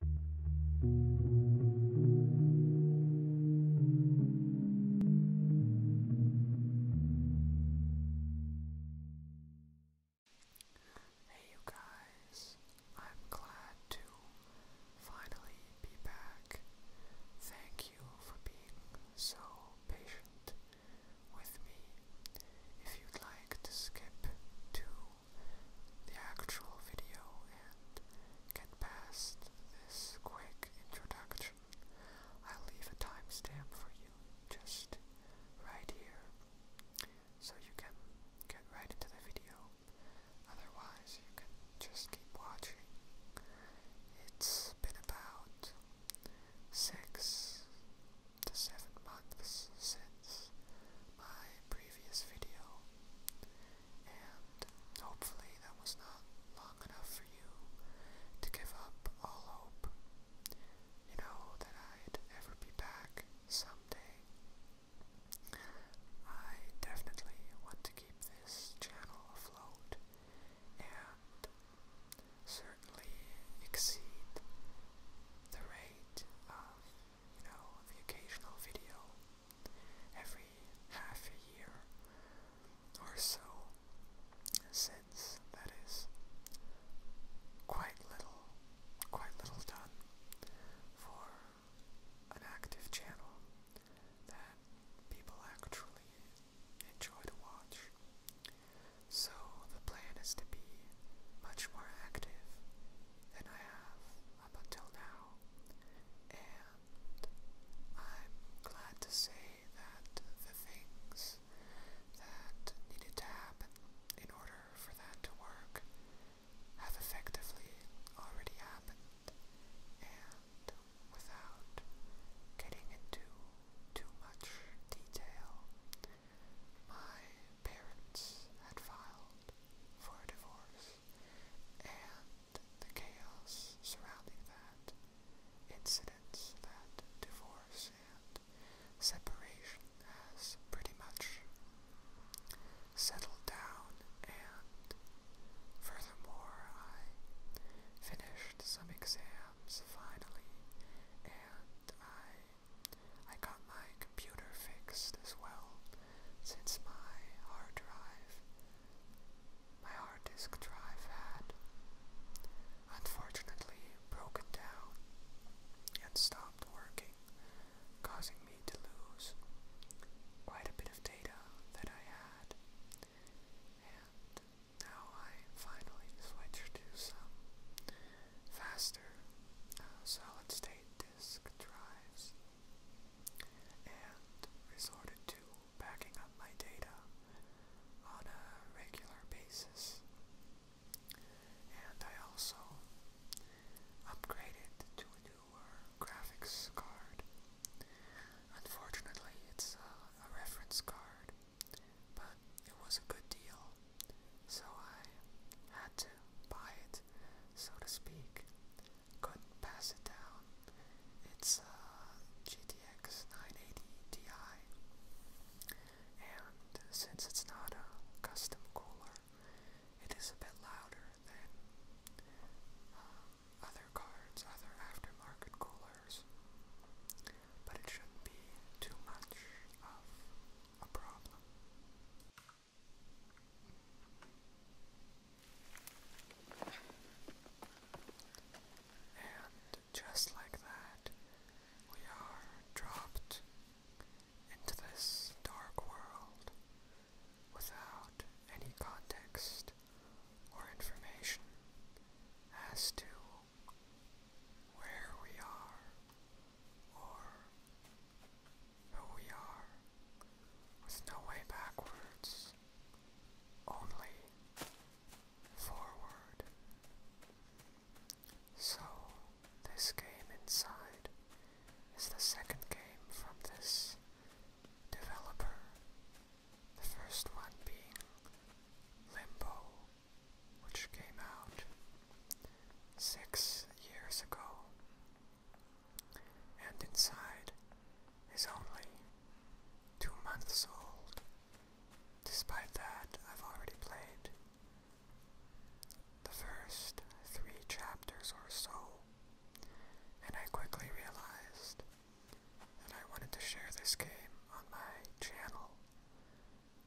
Hey you guys, I'm glad to finally be back. Thank you for being so patient with me. If you'd like to skip to the actual video and get past this quick introduction, i leave a timestamp for you just right here so you can get right into the video. Otherwise, you can just keep watching. It's been about six to seven months since my previous video, and hopefully that was not long enough for you to give up all hope. You know, that I'd ever be back someday. I definitely want to keep this channel afloat and certainly exceed the rate of you know, the occasional video every half a year or so since that is quite little, quite little done for an active channel that people actually enjoy to watch. So the plan is to be much more active than I have up until now, and I'm glad to say that the things that needed to happen in order for that to work have effectively already happened, and without getting into too much detail, my parents had filed for divorce and the chaos surrounding that, incident, that divorce and separation has pretty much settled down and furthermore I finished some exams finally and I I got my computer fixed as well, since my hard drive, my hard disk drive had unfortunately broken down and stopped working, causing me to lose quite a bit of data that I had. And now I finally switched to some faster uh, solid state disk drives and resorted to backing up my data on a regular basis. And I also upgraded to a newer graphics card. Unfortunately, it's a, reference card, but it was a good deal, so I had to buy it, so to speak. could pass it down. It's a uh, GTX 980 Ti, and since it's not a custom cooler, it is a bit louder than uh, other cards, other aftermarket coolers. But it shouldn't be too much of a problem. And just like that, we are dropped into this dark world without any context or information as to where we are or who we are, with no way backwards, only forward. So, this game inside is the second game from this developer, the first one being Limbo, which came out six years ago and inside is only two months old. Despite that, I've already played the first three chapters or so, and I quickly realized that I wanted to share this game on my channel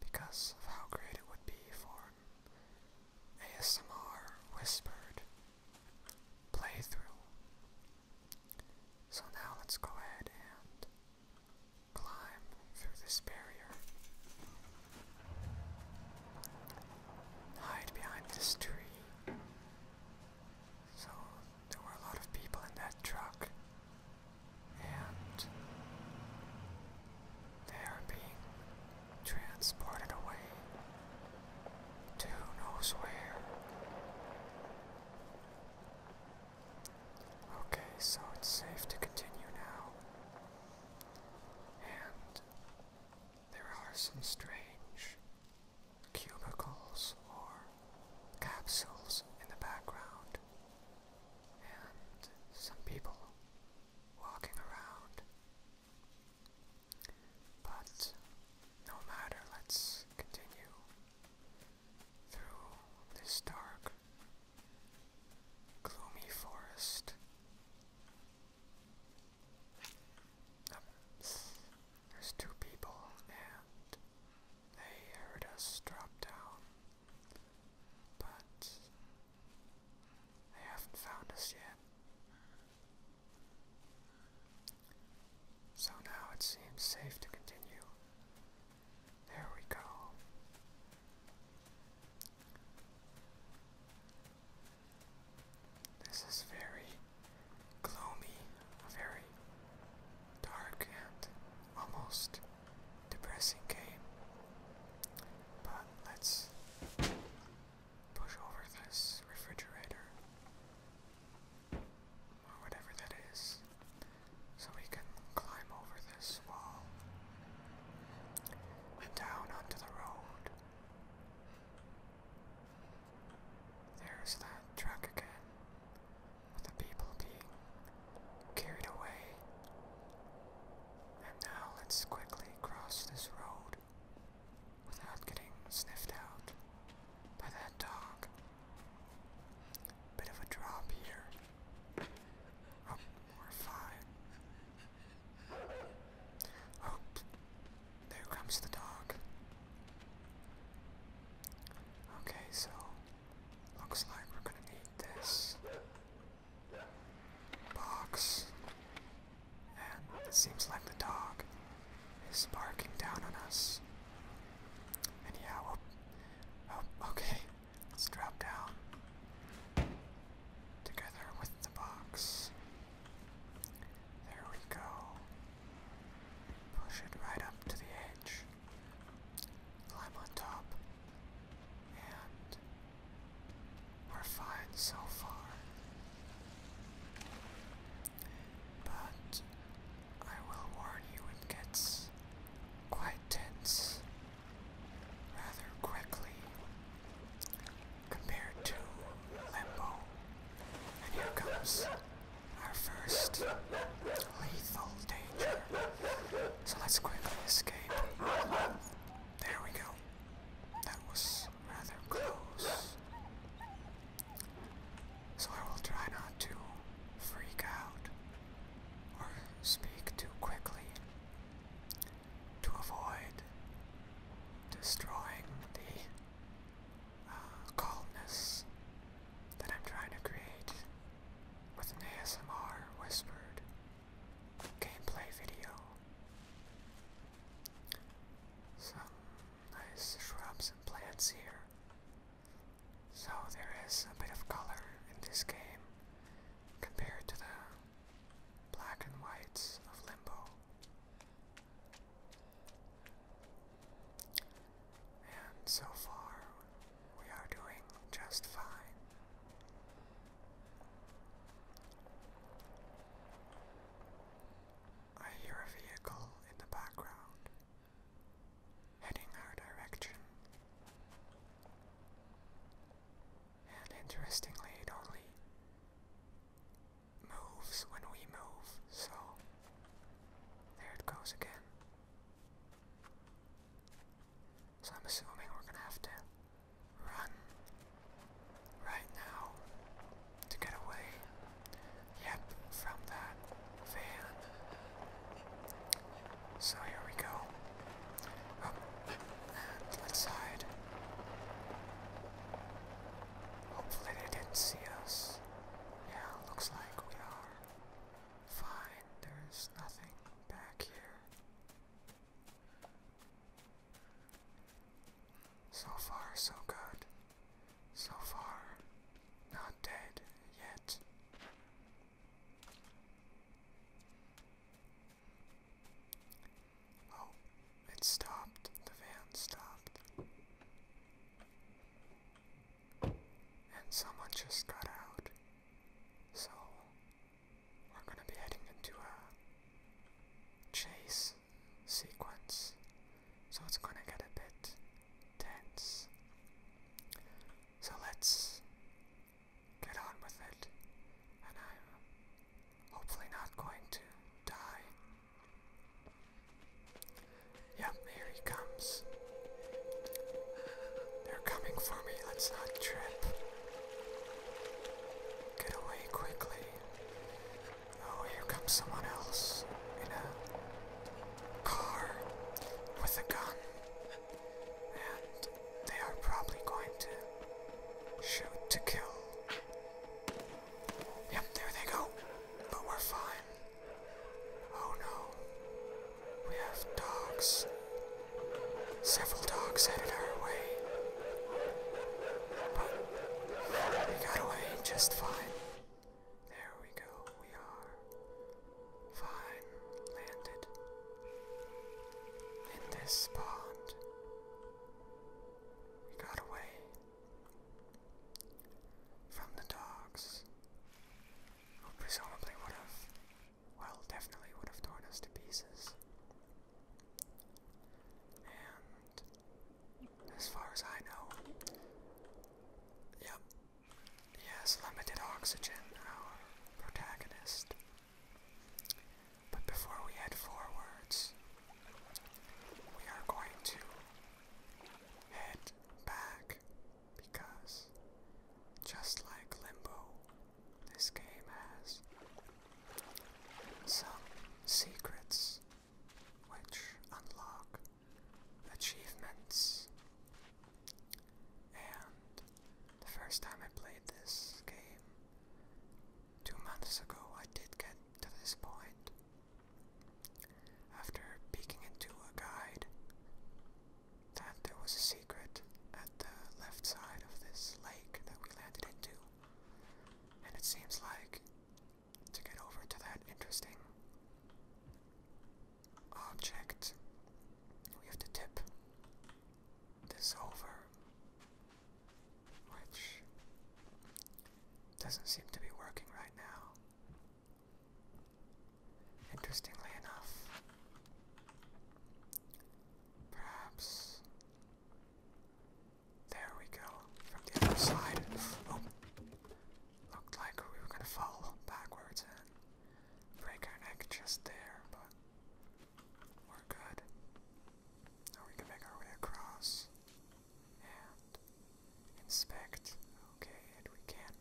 because of how great it would be for ASMR Whispered playthrough. So now let's go ahead and climb through this barrier. Hide behind this tree. So there were a lot of people in that truck, and they are being transported away to who where. Okay, so it's safe to continue now. And there are some strange cubicles or capsules in the background, and some people walking around. But no matter, let's continue through this dark, gloomy forest. there's two people, and they heard us drop down, but they haven't found us yet. So now it seems safe to continue. There we go. This is very gloomy, very dark and almost depressing game. But let's push over this refrigerator or whatever that is so we can climb over this wall and down onto the road. There's that truck again with the people being carried away and now let's quickly cross this road without getting sniffed out by that dog. Bit of a drop here. Oh, we're Oh, there comes the dog. Okay, so looks like we're gonna need this box. And it seems like the dog is barking down on us. And yeah, well, oh, okay, let's drop down together with the box. There we go. Push it right up to the edge. Climb on top. And we're fine so far. But I will warn you it gets quite tense rather quickly compared to Limbo. And here comes our first lethal danger. So let's quickly escape. There we go. That was rather close. So I will try not to freak out or speak too quickly to avoid destroying the uh, calmness that I'm trying to create with an ASMR whispered gameplay video. Some nice shrubs and plants here. So there is a bit of color in this game compared to the black and whites of Limbo. And so far, we are doing just fine. I hear a vehicle in the background heading our direction. And interestingly, it only moves when we move, so there it goes again. So I'm assuming we're gonna have to run right now to get away. Yep, from that van. So here we go. Oh, and let Hopefully they didn't see us. Yeah, looks like we are. Fine, there's nothing back here. So far, so good. So far, not dead yet. Oh, it stopped. The van stopped. And someone just got out. So we're going to be heading into a chase sequence, so it's going to get a bit tense. So let's get on with it, and I'm hopefully not going to die. Yep, here he comes. They're coming for me, let's not trip. Get away quickly. Oh, here comes someone else in a car with a gun. And they are probably going to shoot to kill. Yep, there they go. But we're fine. Oh no. We have dogs Several dogs headed our way, but we got away just fine. There we go, we are fine landed in this pond. We got away from the dogs who presumably would have well, definitely would have torn us to pieces. And as far as I know, yep, he limited oxygen, our protagonist. But before we head forwards, we are going to head back because just like Limbo, this game has some secrets which unlock achievements. And the first time I played this game, two months ago, I did get to this point. After peeking into a guide, that there was a secret at the left side of this lake that we landed into. And it seems like to get over to that interesting object, we have to tip this over, which doesn't seem to be working right now. Interestingly enough, perhaps there we go, from the other side. Oh, looked like we were gonna fall backwards and break our neck just there, but we're good. Or we can make our way across and inspect. Okay, and we can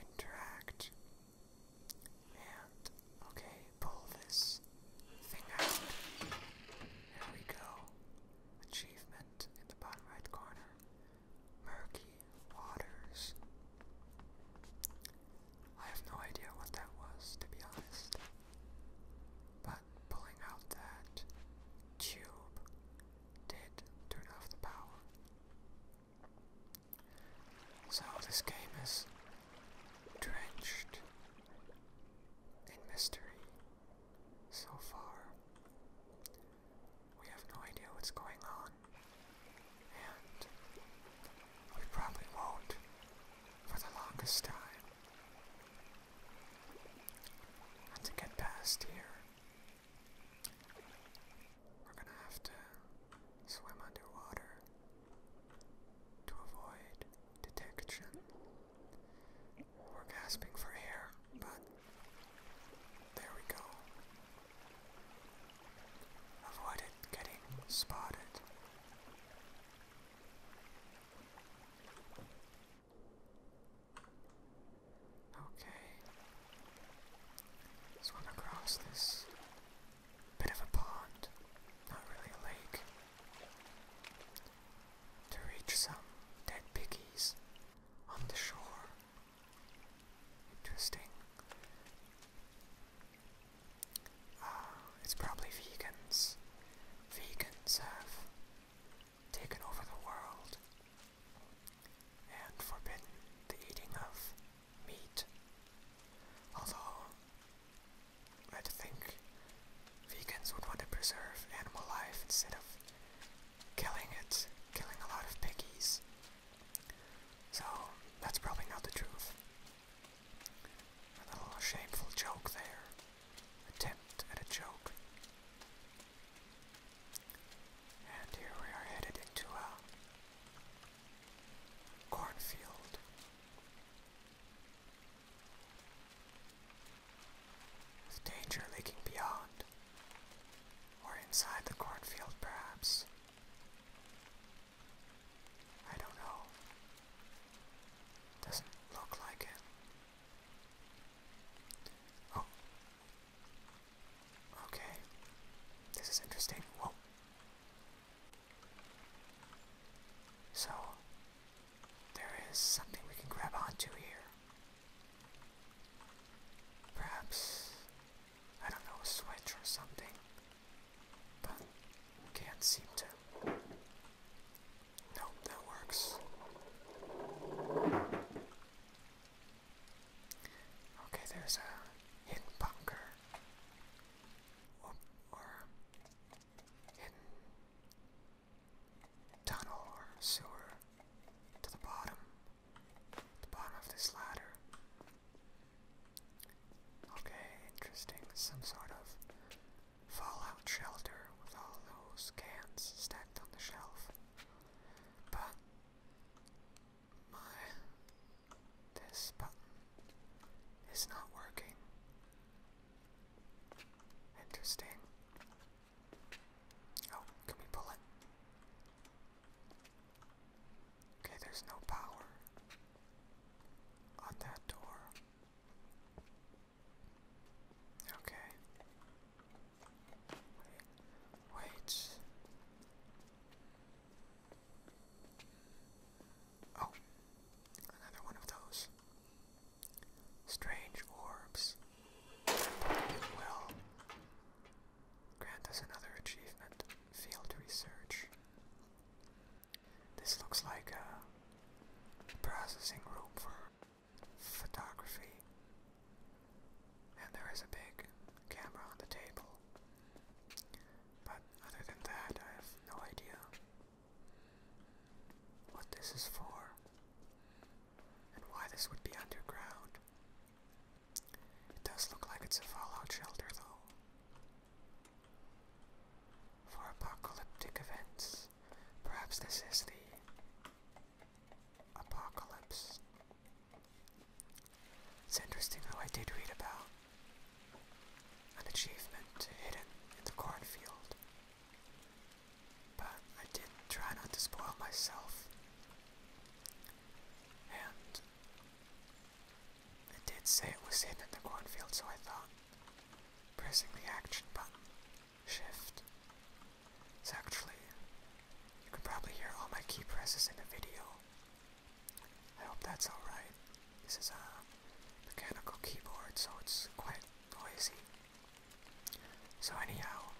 interact and, okay, pull this thing out. There we go. Achievement in the bottom right corner. Murky Waters. I have no idea what that was, to be honest. But pulling out that tube did turn off the power. So this game is drenched in mystery so far. We have no idea what's going on, and we probably won't for the longest time. And to get past here, we're gonna have to swim underwater to avoid detection. We're gasping for air, but there we go. Avoid getting spotted. Okay. Swim across this Bit of a pond, not really a lake. To reach some dead piggies on the shore. Interesting. Uh, it's probably vegans. Vegans have taken over the world and forbidden the eating of meat. Although I'd think vegans would want to preserve animal life instead of killing it, killing a lot of piggies. So that's probably not the truth. A little shameful joke there. Attempt at a joke. And here we are headed into a cornfield. The danger lurking beyond, or inside the cornfield perhaps. I don't know. Doesn't look like it. Oh. Okay. This is interesting. Whoa. So, there is something we can grab onto here. Perhaps, I don't know, a switch or something, but can't seem to. Nope, that works. Okay, there's a hidden bunker or, hidden tunnel or sewer to the bottom, the bottom of this ladder. Okay, interesting. Some sort of fallout shelter with all those cans stacked on the shelf. But my this button is not working. Interesting. Oh, can we pull it? Okay, there's no power on that door. Okay. Wait. Oh, another one of those. Strange orbs. It grant us another achievement. Field research. This looks like a processing room for photography. And there is a big camera on the table. But other than that, I have no idea what this is for and why this would be underground. It does look like it's a fallout shelter, though. For apocalyptic events, perhaps this is the apocalypse. It's interesting how I did read about an achievement hidden in the cornfield. But I did try not to spoil myself, and it did say it was hidden in the cornfield, so I thought pressing the action button, shift. It's actually, you can probably hear all my key presses in the video. I hope that's alright. This is a mechanical keyboard, so it's quite noisy. So anyhow,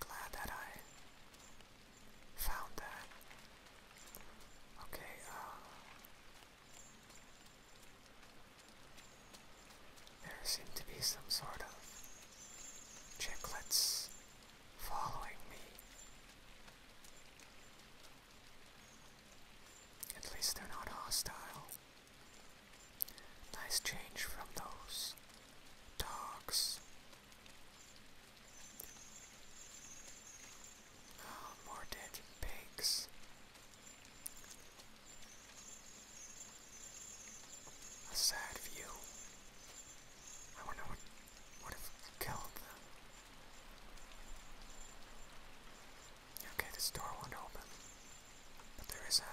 glad that I found that. Okay, uh, there seem to be some sort of chicklets following me. At least they're not hostile. Nice change from those dogs. Oh, more dead pigs. A sad view. I wonder what would have killed them. Okay, this door won't open, but there is a,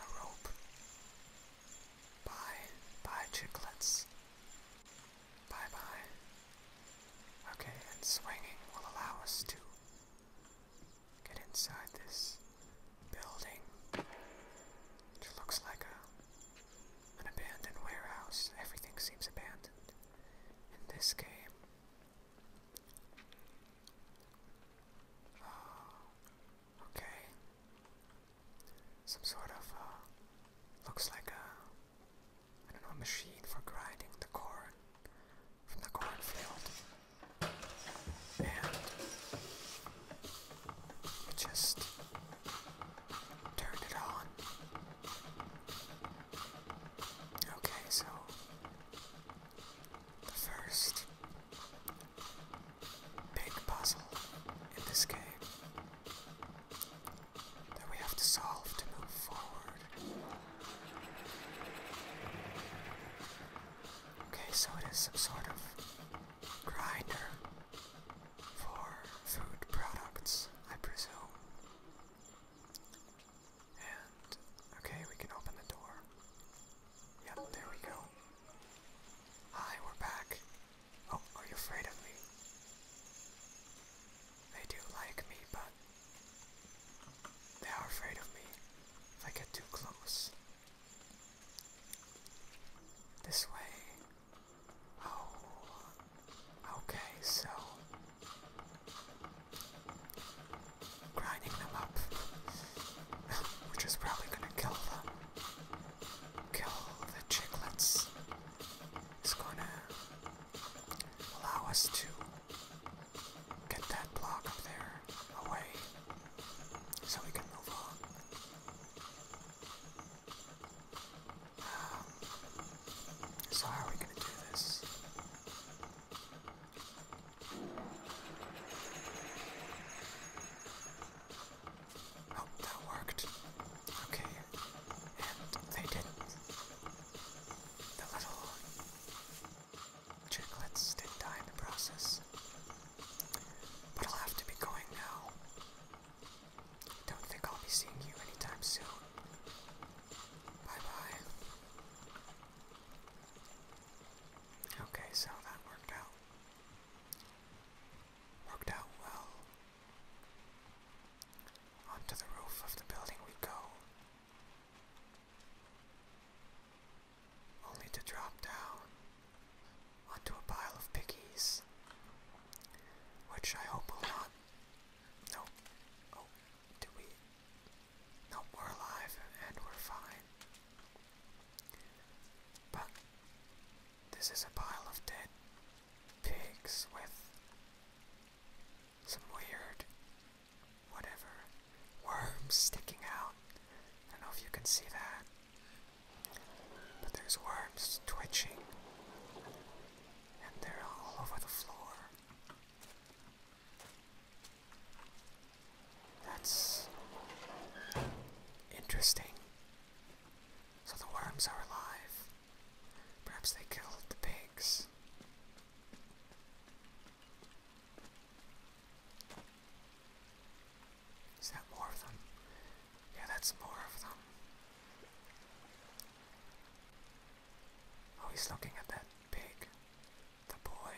a rope. Bye, bye chicklets. Bye bye. Okay, and swinging will allow us to get inside this building, which looks like a an abandoned warehouse. Everything seems abandoned in this game. okay. Some sort of, uh, looks like a, I don't know, machine for grinding the corn from the cornfield. And you just turn it on. Okay, so the first big puzzle in this game that we have to solve to move forward. Okay, so it is some sort of grinder for food products, I presume okay, we can open the door. Yep, there we go. Hi, we're back. Oh, are you afraid of me? They do like me, but they are afraid of me if I get too close. This way. Oh, okay, so grinding them up, which is probably gonna kill them. Kill the chicklets It's gonna allow us to get that block up there away so we can move on. So how are we gonna do this? Oh, that worked. Okay. And they didn't. The little chicklets did die in the process. But I'll have to be going now. Don't think I'll be seeing you anytime soon. Bye bye. Okay, so that worked out. Worked out well. Onto the roof of the building we go. Only to drop down onto a pile of piggies, which I hope will not no. Oh, do we? No, we're alive and we're fine. But this is a pile of dead pigs with some weird whatever worms sticking out. I don't know if you can see that. But there's worms twitching and they're all over the floor. That's interesting. So the worms are alive. Perhaps they killed the pigs. Is that more of them? Yeah, that's more of them. Oh, he's looking at that pig. The boy.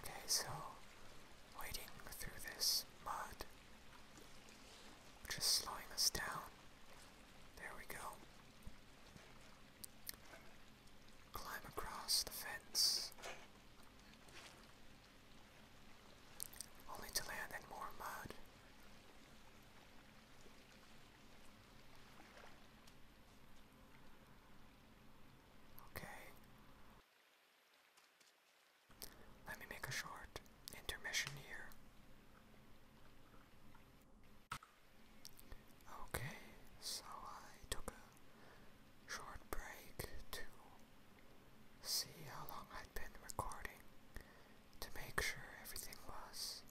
Okay, so wading through this mud, which is slowing us down. There we go. Climb across the fence only to land in more mud. Okay. Let me make a short intermission here. Okay, so I took a short break to see how long I'd been recording to make sure everything was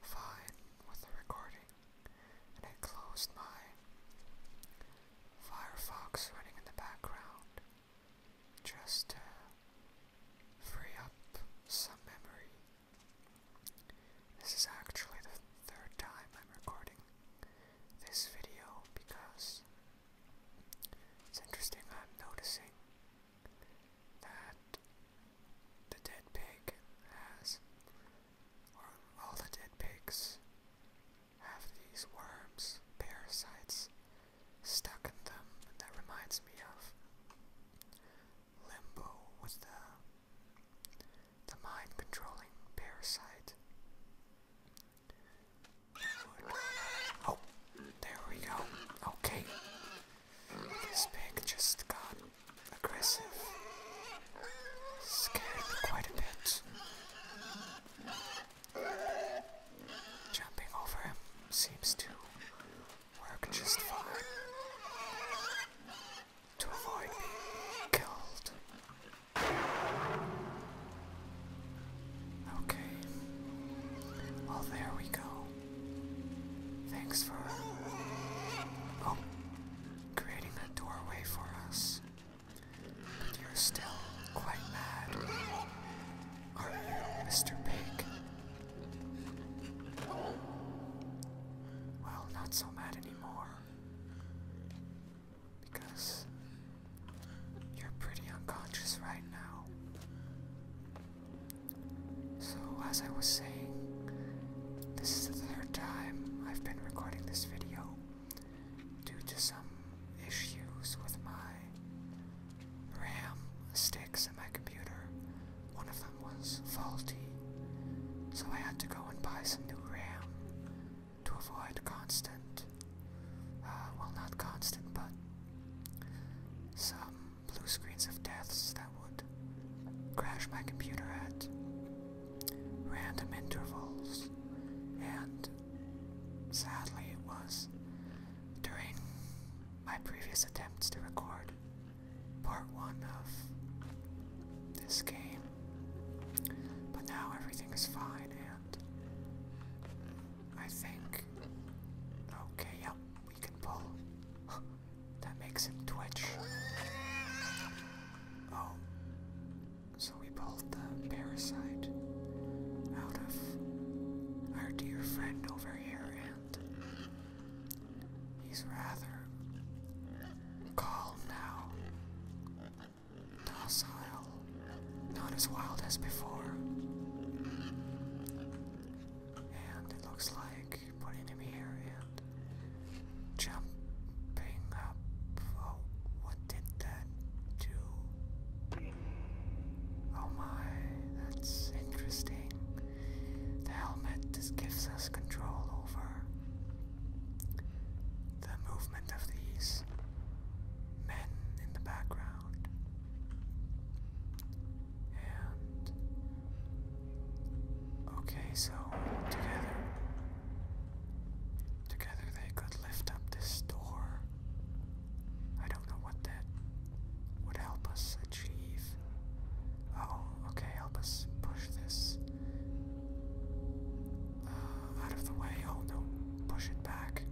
fine with the recording, and I closed my Firefox running in the background just to free up some memory. This is actually the third time I'm recording this video because it's interesting I'm noticing that the dead pig has, or all the dead pigs have these worms, parasites stuck in them, that reminds me of Limbo with the the mind controlling parasite. Oh, there we go. Okay. This pig just got aggressive. Scared quite a bit. Jumping over him seems to work just fine. To avoid being killed. Okay. Well, there we go. Thanks for oh, creating that doorway for us. But you're still quite mad, are you, Mr. Pig? Well, not so mad anymore. Because you're pretty unconscious right now. So, as I was saying, this is the third time I've been recording this video due to some issues with my RAM sticks in my computer. One of them was faulty, so I had to go and buy some new RAM to avoid constant uh, well, not constant, but some blue screens of deaths that would crash my computer at random intervals. And sadly, it was during my previous attempts to record part one of this game. But now everything is fine, and I think. Okay, yep, we can pull. that makes him twitch. Oh. So we pulled the parasite out of our dear friend over here, and he's rather calm now. Docile not as wild as before. And it looks like putting him here and jumping up. Oh, what did that do? Oh my, that's interesting. The helmet just gives us control over the movement of these men in the background. Okay, so together. Together they could lift up this door. I don't know what that would help us achieve. Oh, okay, help us push this uh, out of the way. Oh no, push it back.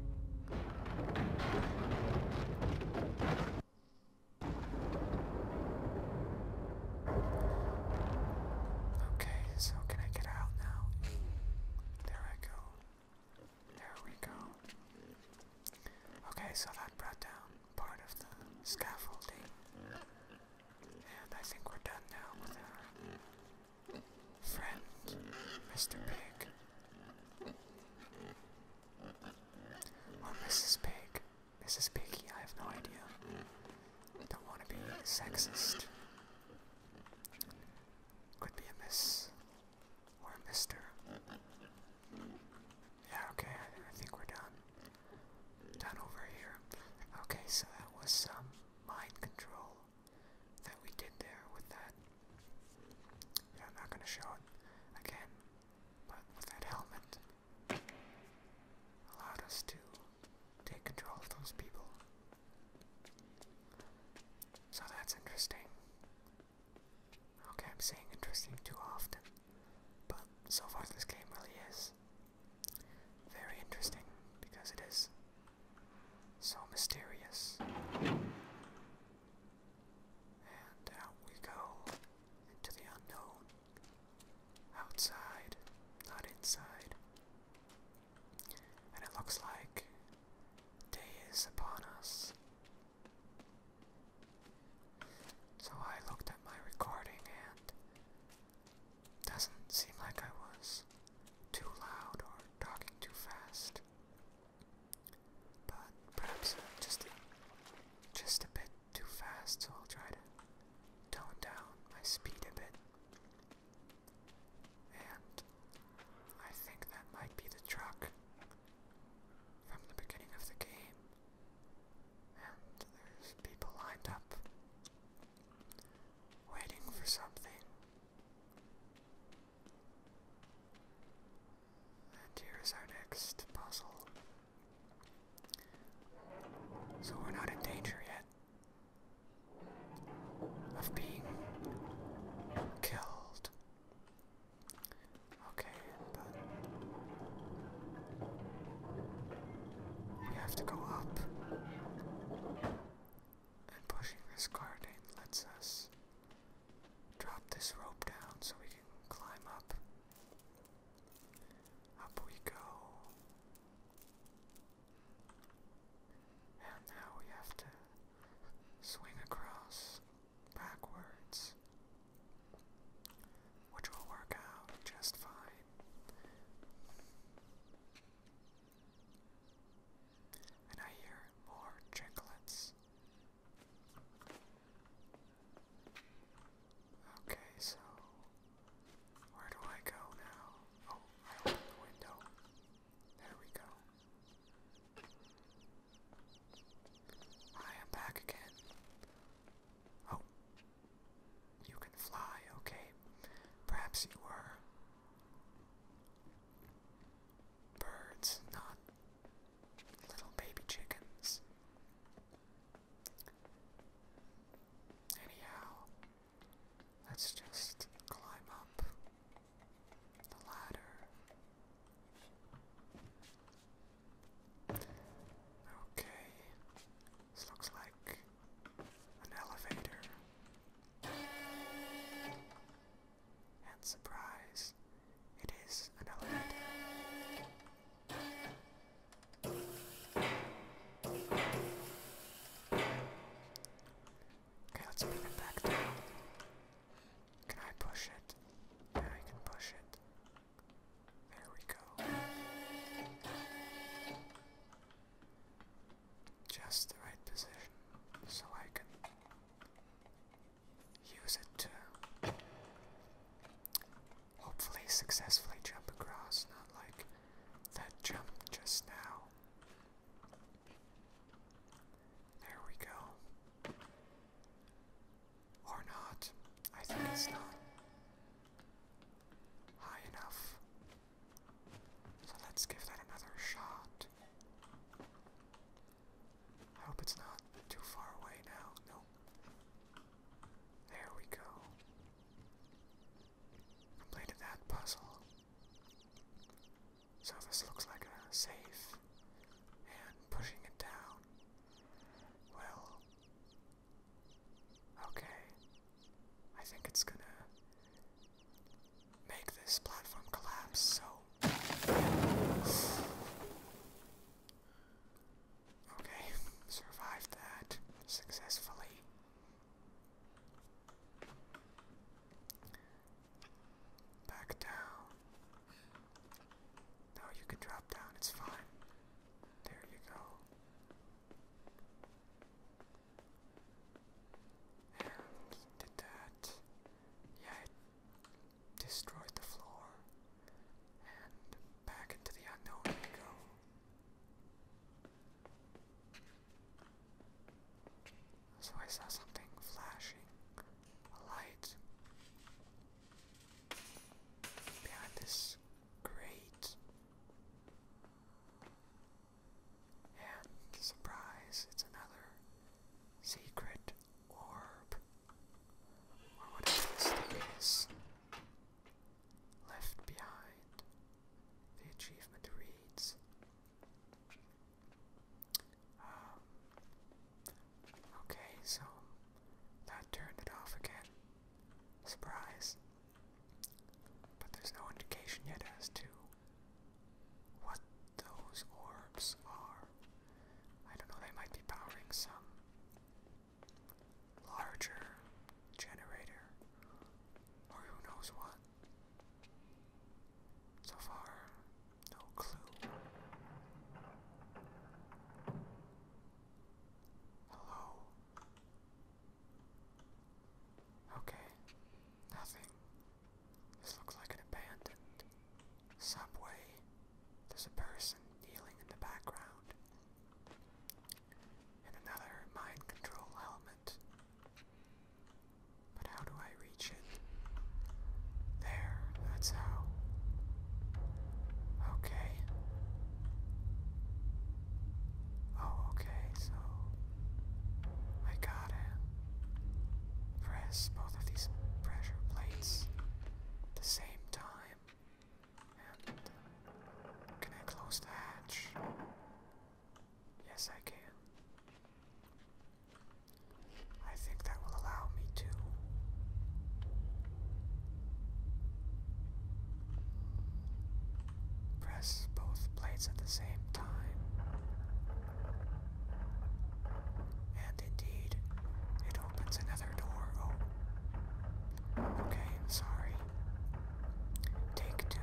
Okay, so can I get out now? There I go. There we go. Okay, so that brought down part of the scaffolding. And I think we're done now with our friend, Mr. Pig. Or Mrs. Pig. Mrs. Piggy, I have no idea. Don't want to be sexist. Could be a miss. Or a mister. Yeah, okay, I, think we're done. Done over here. Okay, so that was some mind control that we did there with that. I'm not gonna show it again, but with that helmet allowed us to take control of those people. So that's interesting. Okay, I'm saying interesting too often, but so far this game really is very interesting because it is so mysterious. And out we go into the unknown. Outside, not inside. And it looks like day is upon us. So I looked at my recording and doesn't seem like I was too loud or talking too fast. But perhaps just a, just a bit too fast, so I'll try to tone down my speed a bit. And I think that might be the truck from the beginning of the game. And there's people lined up waiting for something. And here is our next puzzle. So we're not in danger yet of being killed. Okay, but we have to go up. And pushing this card in lets us Drop this rope down so we can climb up. Up we go. And now we have to swing across backwards, which will work out just fine. And I hear more chicklets. Okay, so where do I go now? Oh, I opened the window. There we go. I am back again. Oh, you can fly, okay. Perhaps you were Birds, not little baby chickens. Anyhow, let's just climb up the ladder. Okay, this looks like an elevator. And surprise, it is an elevator. Okay, let's bring it back down. Can I push it? I can push it. There we go. Just the right position so I can use it to hopefully successfully jump across, not like that jump just now. There we go. Or not. I think it's not high enough. So let's give that another shot. I hope it's not too far away now. Nope. There we go. Completed that puzzle. So this looks like a safe, and pushing it down. Well, okay. I think it's gonna make this platform collapse, so. Okay, survived that successfully. Back down. No, you can drop down, it's fine. There you go. And did that. Yeah, it destroyed the floor. And back into the unknown we go. So I saw something flashing, a light behind this grate. And surprise, it's another Secret orb. Or whatever this is. Left behind. The achievement reads. Um, okay, so that turned it off again. Surprise. But there's no indication yet as to what those orbs are. I don't know, they might be powering some larger generator or who knows what. So far, no clue. Hello. Okay, nothing. This looks like an abandoned subway. There's a person kneeling in the background. And another mind control helmet. But how do I reach it? There, that's how. Okay. Oh, okay, so I gotta press both of these pressure plates at the same time. Uh, can I close the hatch? Yes, I can. I think that will allow me to. Press both plates at the same time and indeed, it opens another door. Oh. Okay, sorry. Take two.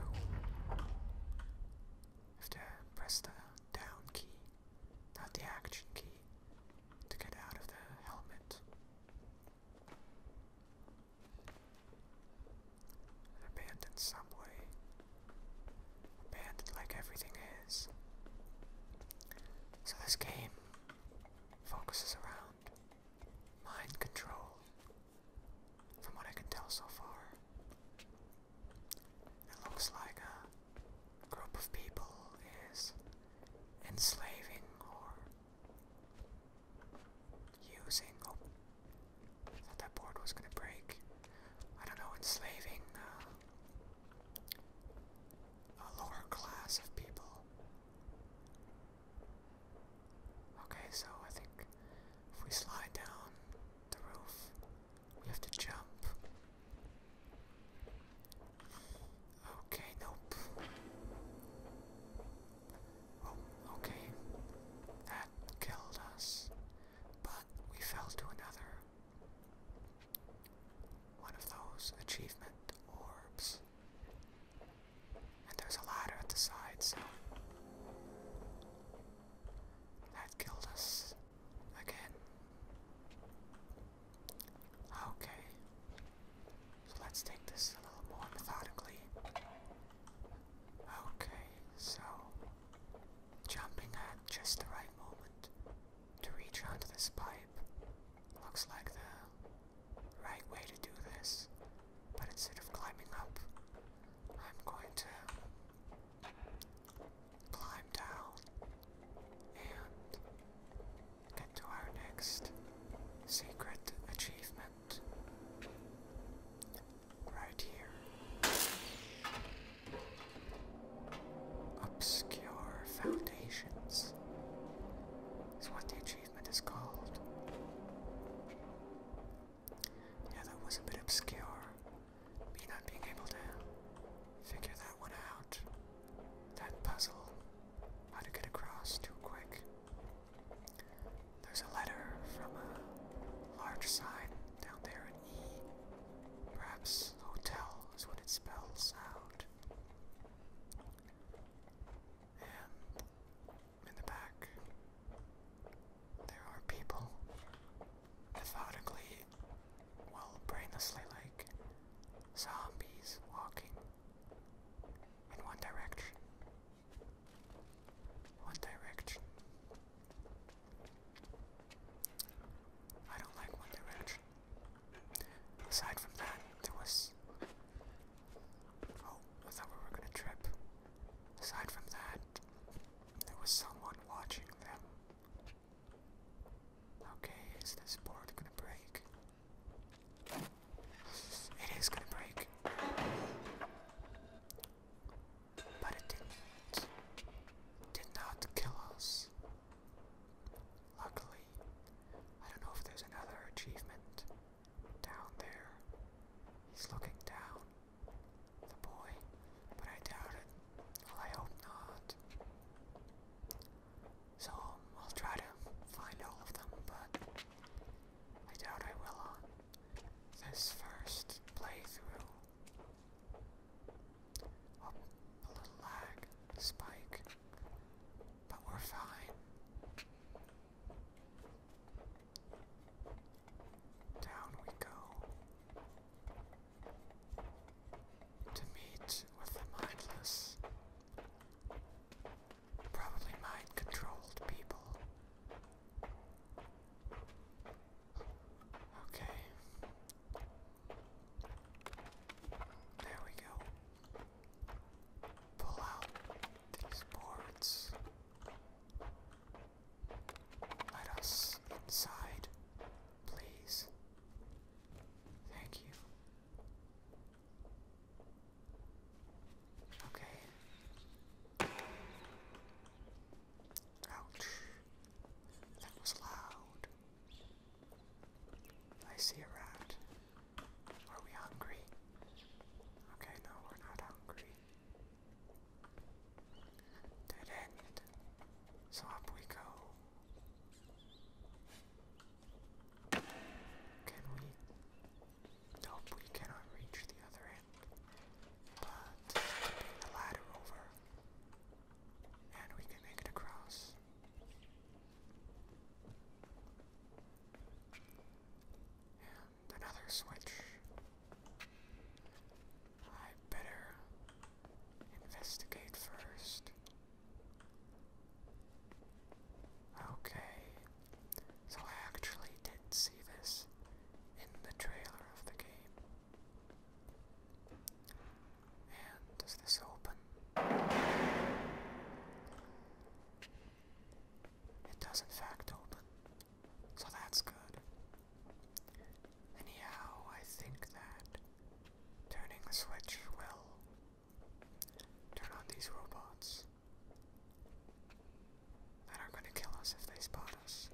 Have to press the down key, not the action key, to get out of the helmet. abandoned subway bad like everything is. So this game focuses around mind control, from what I can tell so far. It looks like a group of people is enslaving or using. Oh, thought that board was gonna break. I don't know, enslaving uh, a lower class of people. Okay, so I think if we slide down the roof, we have to jump. Okay, nope. Oh, okay. That killed us. But we fell to another one of those achievement orbs. And there's a ladder at the side, that killed us again. Okay. So let's take this a little more methodically. Okay, so Jumping at just the right moment to reach onto this pipe looks like the right way to do this, but instead of climbing up, I'm going to climb down and get to our next secret achievement right here. Obscure Foundations is what the achievement is called. Yeah, that was a bit obscure. Me not being able to figure that one out. That puzzle. How to get across too quick. There's a letter from a large sign down there Perhaps hotel is what it spells out. And in the back, there are people methodically, well, brainlessly like zombies walking in one direction. One direction. I don't like One Direction. Aside from that, there was. Oh, I thought we were gonna trip. Aside from that, there was someone watching them. Okay, is this board gonna break? It is gonna break but it didn't did not kill us. Luckily, I don't know if there's another achievement down there. He's looking down, the boy, but I doubt it. Well, I hope not. So I'll try to find all of them, but I doubt I will on this first playthrough a little lag, spike, but we're fine. Down we go to meet with the mindless, probably mind controlled people. Okay. There we go. Pull out these boards. Let us inside, please. Thank you. Okay. Ouch. That was loud. I see a rat. Are we hungry? Okay, no, we're not hungry. Dead end. So up we go. Can we? Nope, we cannot reach the other but the ladder over and we can make it across. And another switch. I better investigate first. Okay, so I actually did see this in the trailer of the game. And does this open? It does in fact open. So that's good. Anyhow, I think that turning the switch will turn on these robots that are going to kill us if they spot us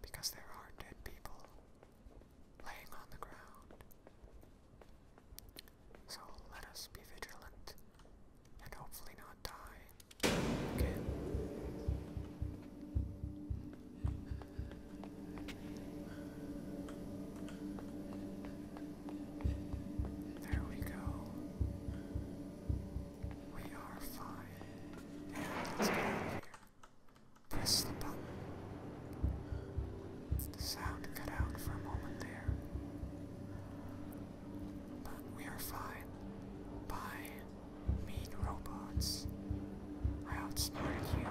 because there are dead people laying on the ground. So let us be vigilant and hopefully not die again. There we go. We are fine. let's get here. Press I slip The sound cut out for a moment there. But we are fine. By mean robots. I outsmarted you.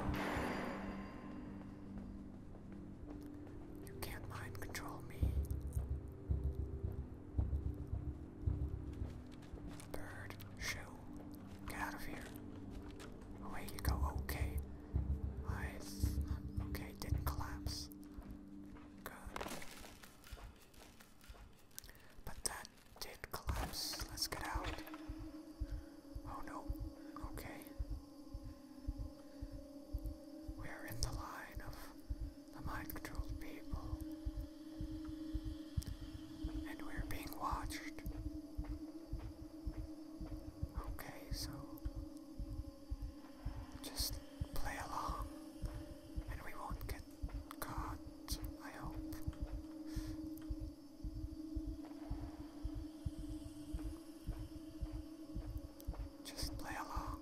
You can't mind control me. Bird, shoot. Get out of here. Away you go. Okay. I. Okay, didn't collapse. Good. But that did collapse. Let's get out. Oh no. Okay. We are in the line of the mind controlled people. And we're being watched. Okay, so just play along and we won't get caught, I hope. Just play along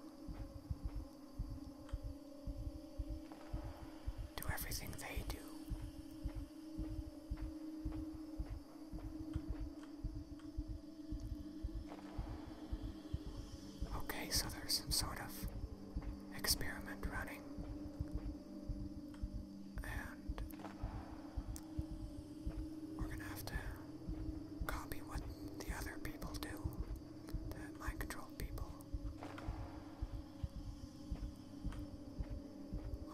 do everything they do. Okay, so sort of experiment running. And we're gonna have to copy what the other people do, the mind control people.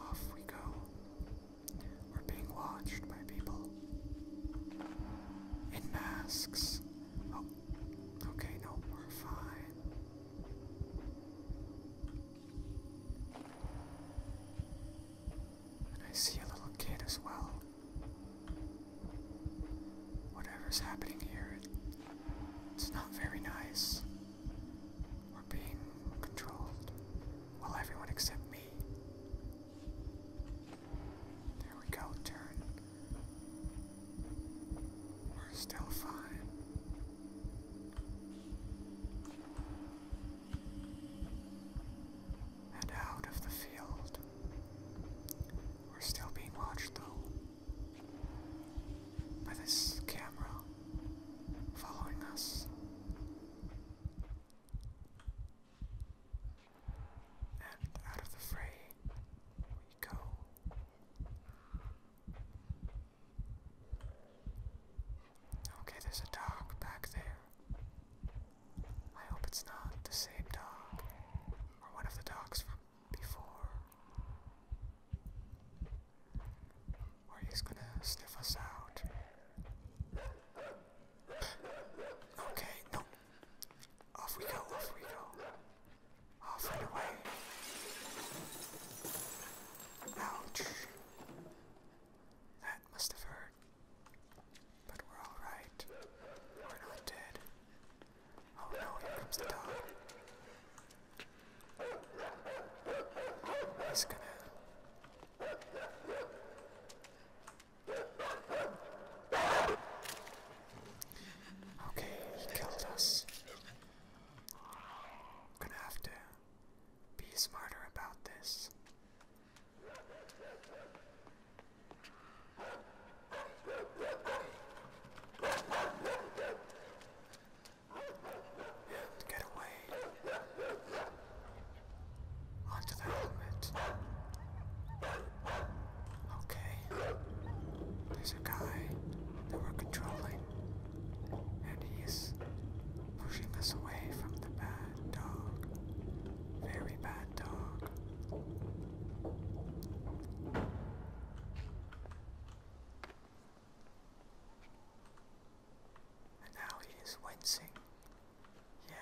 Off we go. We're being watched by people in masks. Oh, okay, no, we're fine. And I see a little kid as well. Whatever's happening here, it's not very nice. We're being controlled. Well, everyone except me. There we go, turn. We're still fine. And out of the field. We're still being watched though by this camera following us. And out of the fray we go. Okay, there's a dog back there. I hope it's not the same dog or one of the dogs from before. Or he's gonna sniff us out. Okay, no. Off we go, off we go. Off and away. Ouch. That must have hurt. But we're alright. We're not dead. Oh no, here comes the dog. He's gonna. Okay, he killed us. I'm gonna have to be smarter about this. Get away. Onto the helmet. Okay. There's a guy that we're controlling. And he's pushing us away from the bad dog. Very bad dog. And now he is wincing. Yeah.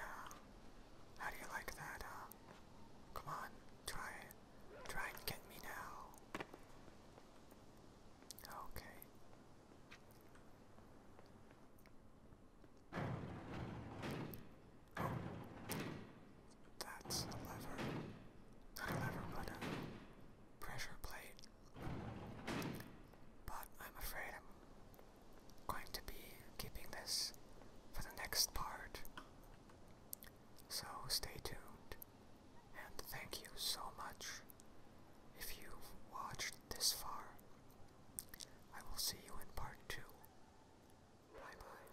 How do you like that, huh? Come on, try it. Try and get me now. Okay. That's the lever. a lever, but pressure plate. But I'm afraid I'm going to be keeping this for the next part. So stay tuned. And thank you so much if you've watched this far. I will see you in part two. Bye bye.